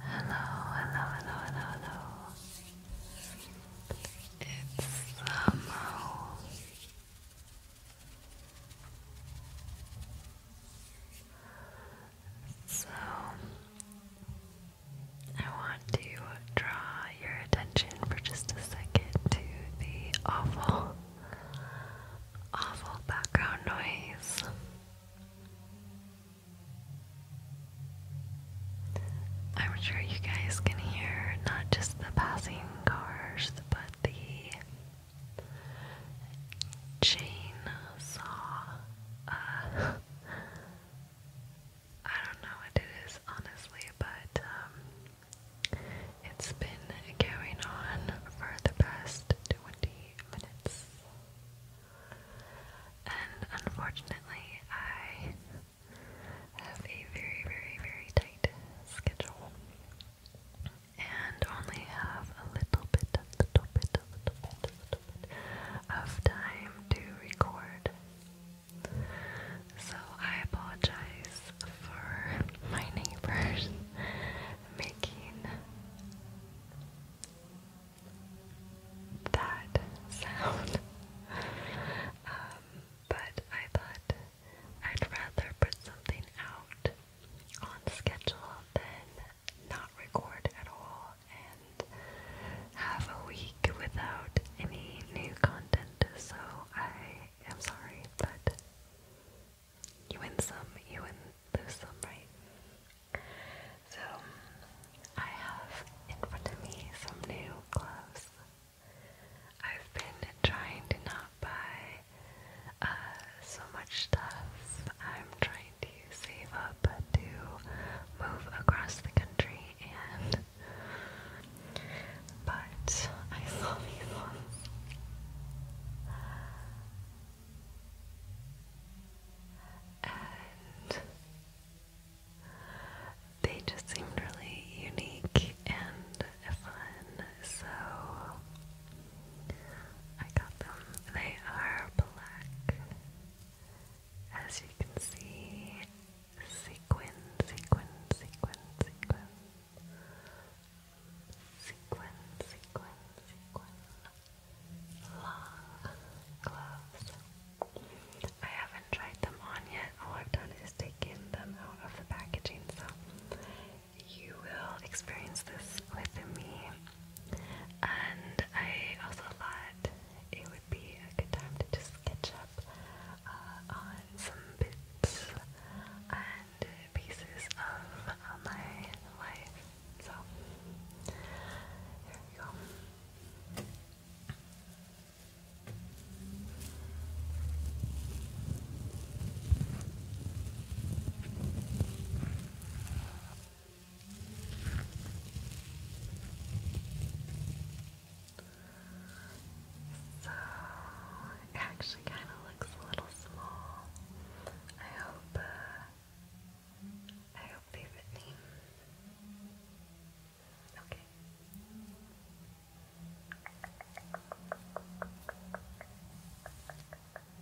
Hello, hello, hello, hello, hello. It's Samo. So, I want to draw your attention for just a second to the awful, awful background noise. I'm sure you guys can hear not just the passing cars, but the chain uh, I don't know what it is, honestly, but um, it's been going on for the past 20 minutes. And unfortunately, I have a very, very, very tight schedule and only have a little bit, a little bit, a little bit, a little bit of time to record. So I apologize for my neighbors making that sound. Um, but I thought I'd rather put something out on schedule than not record at all and have a week without any new content. So I am sorry, but you win some, you win lose some, right? So I have in front of me some new gloves. I've been trying to not buy uh, so much stuff. I'm trying to save up to move across the country and but I saw these ones and they just seemed really unique and fun, so I got them. They are black, as you can see, sequin, sequin, sequin, sequin sequin, sequin, sequin, long gloves. I haven't tried them on yet. All I've done is taken them out of the packaging, so you will experience this with me. And I also thought it would be a good time to just catch up on some bits and and pieces of uh, my life. So, here we go. So actually kind of looks a little small. I hope, uh, I hope they fit me. Okay.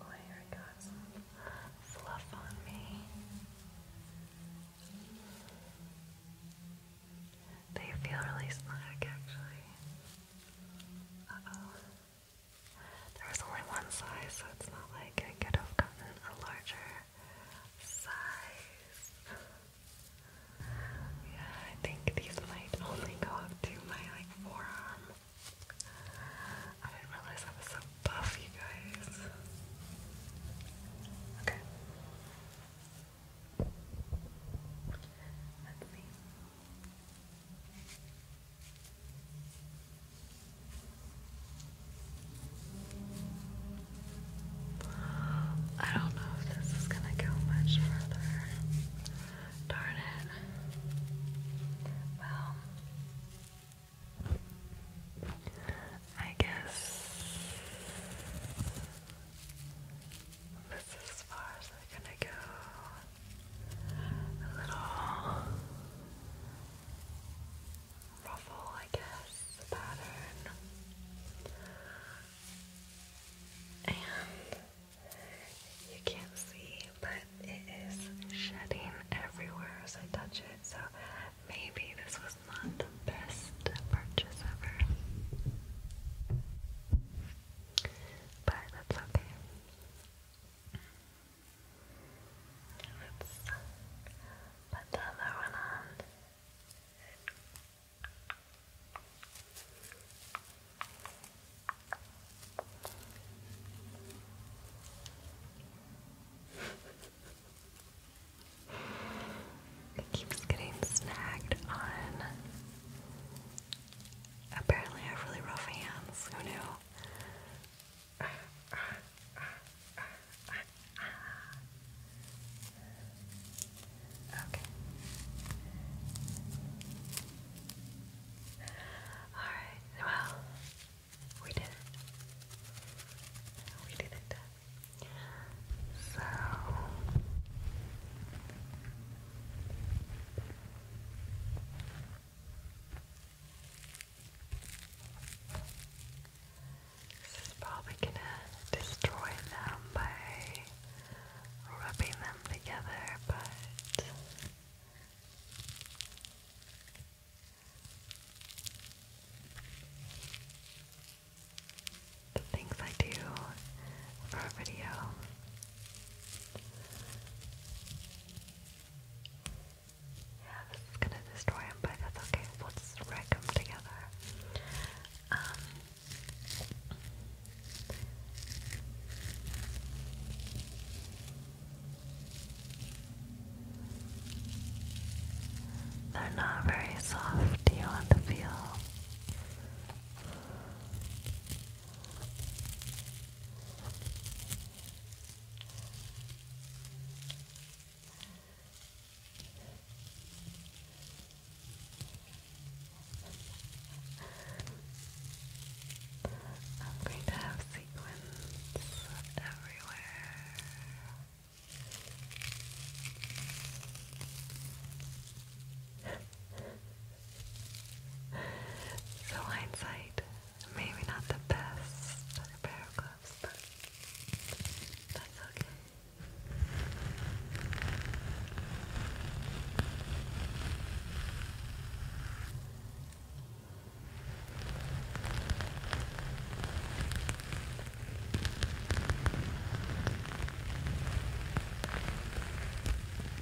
Oh, I got some fluff on me. They feel really slack, actually. Uh oh. There was only one size, so it's not like I could have gotten a larger size. Yeah, I think these might only go up to my like forearm. I didn't realize I was so buff, you guys. Okay. Let's I don't know if this is gonna go much further. Darn it. Well, I guess this is as far as i gonna go a little ruffle, I guess, pattern. And you can't see, but it is shedding everywhere as I touch it, so maybe this was not the best purchase ever. But that's okay. Let's the other one it keeps getting snagged on Apparently, I have really rough hands. Who knew? Okay. Alright, well, we did it. We did it. So, this is probably gonna destroy them by rubbing them together, but the things I do for a video yeah, this is gonna destroy him, but that's okay. We'll wreck him together. Um, they're not very soft, Do you want to feel. I'm going to have sequins everywhere. so hindsight, maybe not the best pair of gloves, but that's Okay.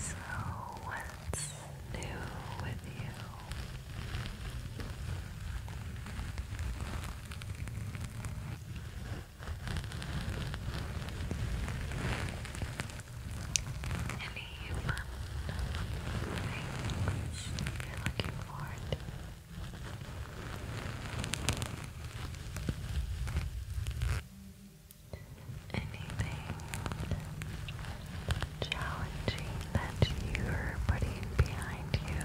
So, what's new with you? Any you're looking forward Anything challenging that you're putting behind you?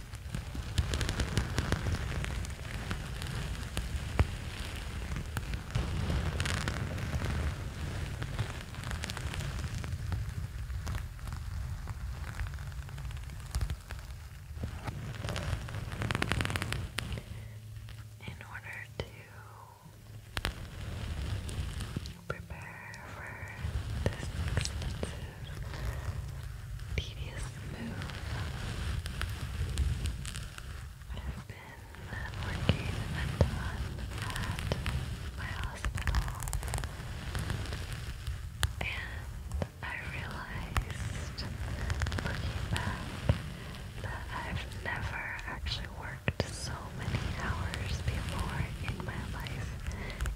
In order to prepare for this tedious move. I've been working a ton at my hospital, and I realized looking back that I've never actually worked so many hours before in my life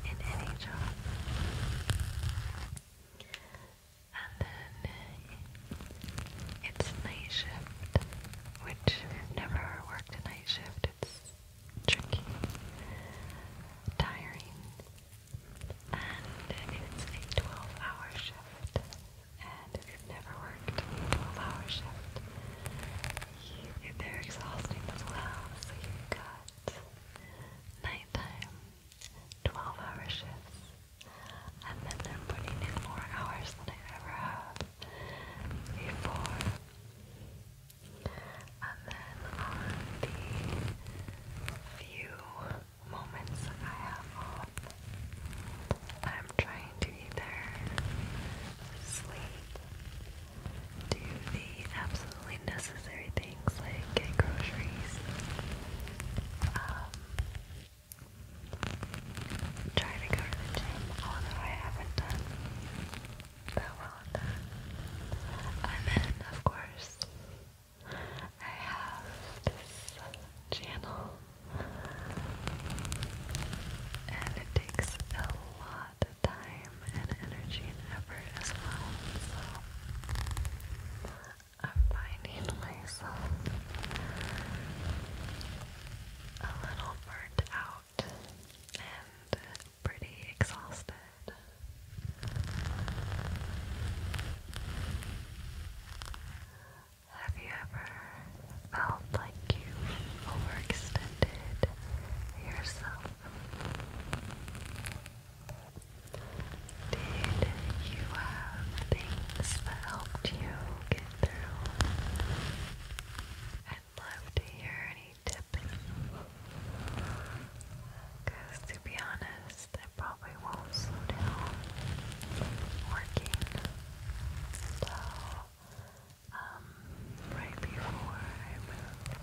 in any job and then it's night shift, which never worked night shift. It's tricky, tiring, and it's a 12-hour shift. And if you've never worked a 12-hour shift, you, they're exhausting as well. So you've got nighttime, 12 hour shifts, and then they're putting in more hours than I ever have before. And then on the few moments that I have off, I'm trying to either sleep, do the absolute absolutely necessary things like get groceries, try to go to the gym, although I haven't done that well And then, of course, I have this channel, and it takes a lot of time and energy and effort as well. So I'm finding myself a little burnt out and pretty exhausted. Have you ever felt like you've overextended yourself did you have things that helped you get through? I'd love to hear any tips. Because to be honest, I probably won't slow down working. So, um, right before I move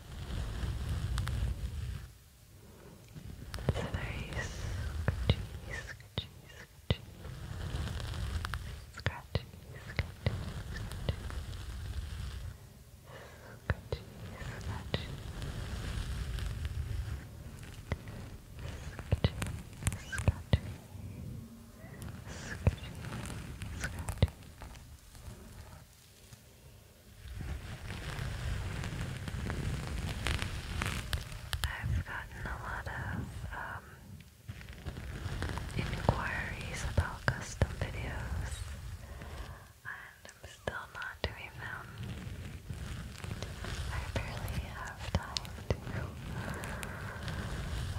It's very scratchy, scratchy, scratchy. Scratchy, scratchy, scratchy. Scratchy, scratchy. Scratchy, scratchy. Scratchy, scratchy. Scratchy, I've gotten a lot of um, inquiries about custom videos, and I'm still not doing them. I barely have time to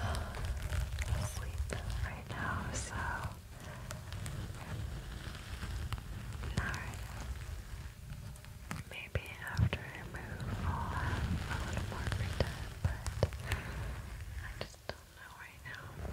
uh, sleep right now, so. Alright. Maybe I move, I'll have a little more free but I just don't know right now.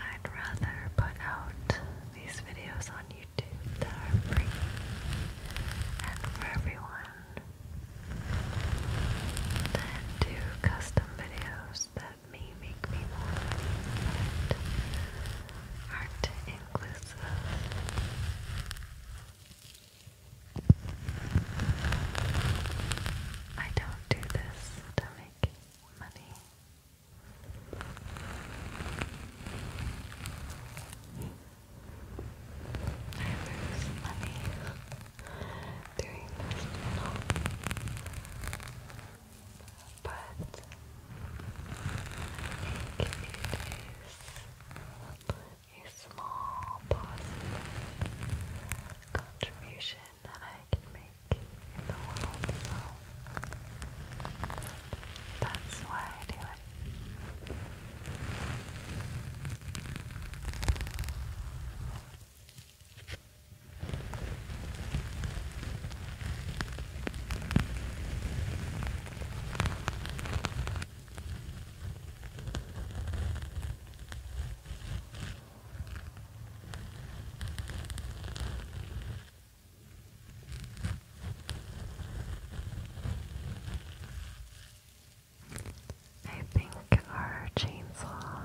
I'd rather put out these videos on YouTube that are free and for everyone than do custom videos that may make me more but aren't inclusive. I don't do this to make money. I lose money doing this But I think a small positive contribution that I can make in the world. So that's why I do it. I think our chainsaw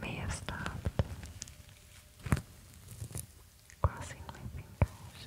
may have stopped crossing my fingers.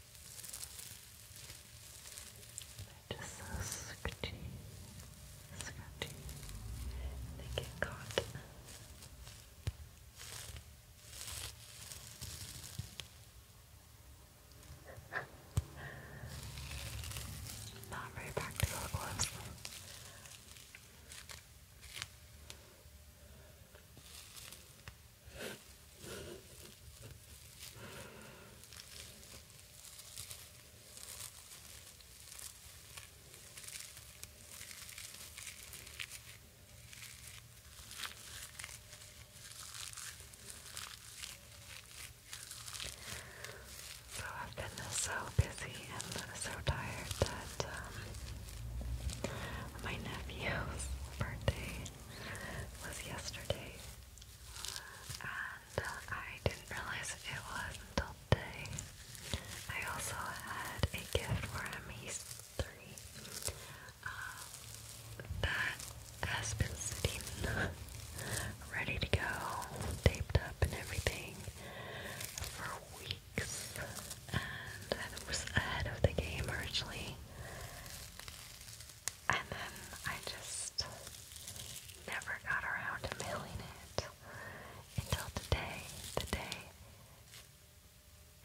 They're just so scratchy, scratchy, they get caught. Not very practical gloves. So I've been so busy and so tired that um, my nephew's birthday was yesterday, and uh, I didn't realize it was until today. I also had a gift for him, he's three, um, that has been sitting ready to go, taped up and everything for weeks and I was ahead of the game originally. And then I just never got around to mailing it until today, the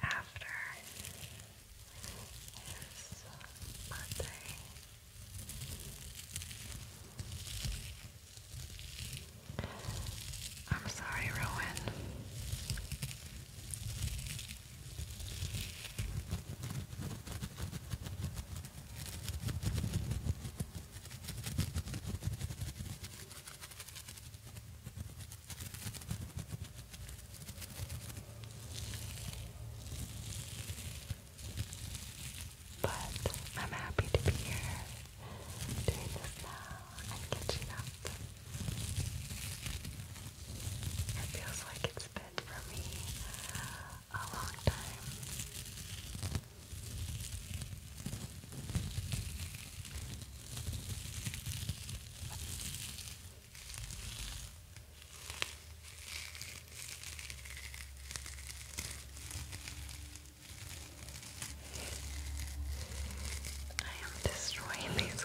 after his birthday. I'm sorry, Rowan. But I'm happy to be here doing this now and catching up. It feels like it's been for me a long time. I am destroying these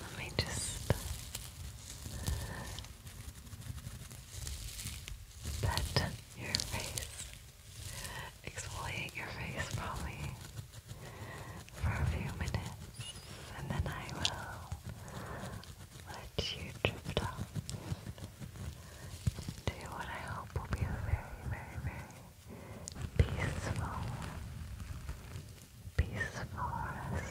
Let me just pet your face exfoliate your face probably for a few minutes and then I will let you drift off to what I hope will be a very, very, very peaceful, peaceful rest.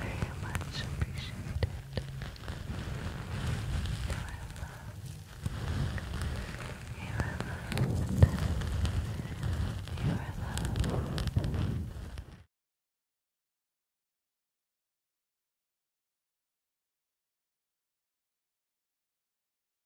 very much appreciated. You are loved. You are loved. You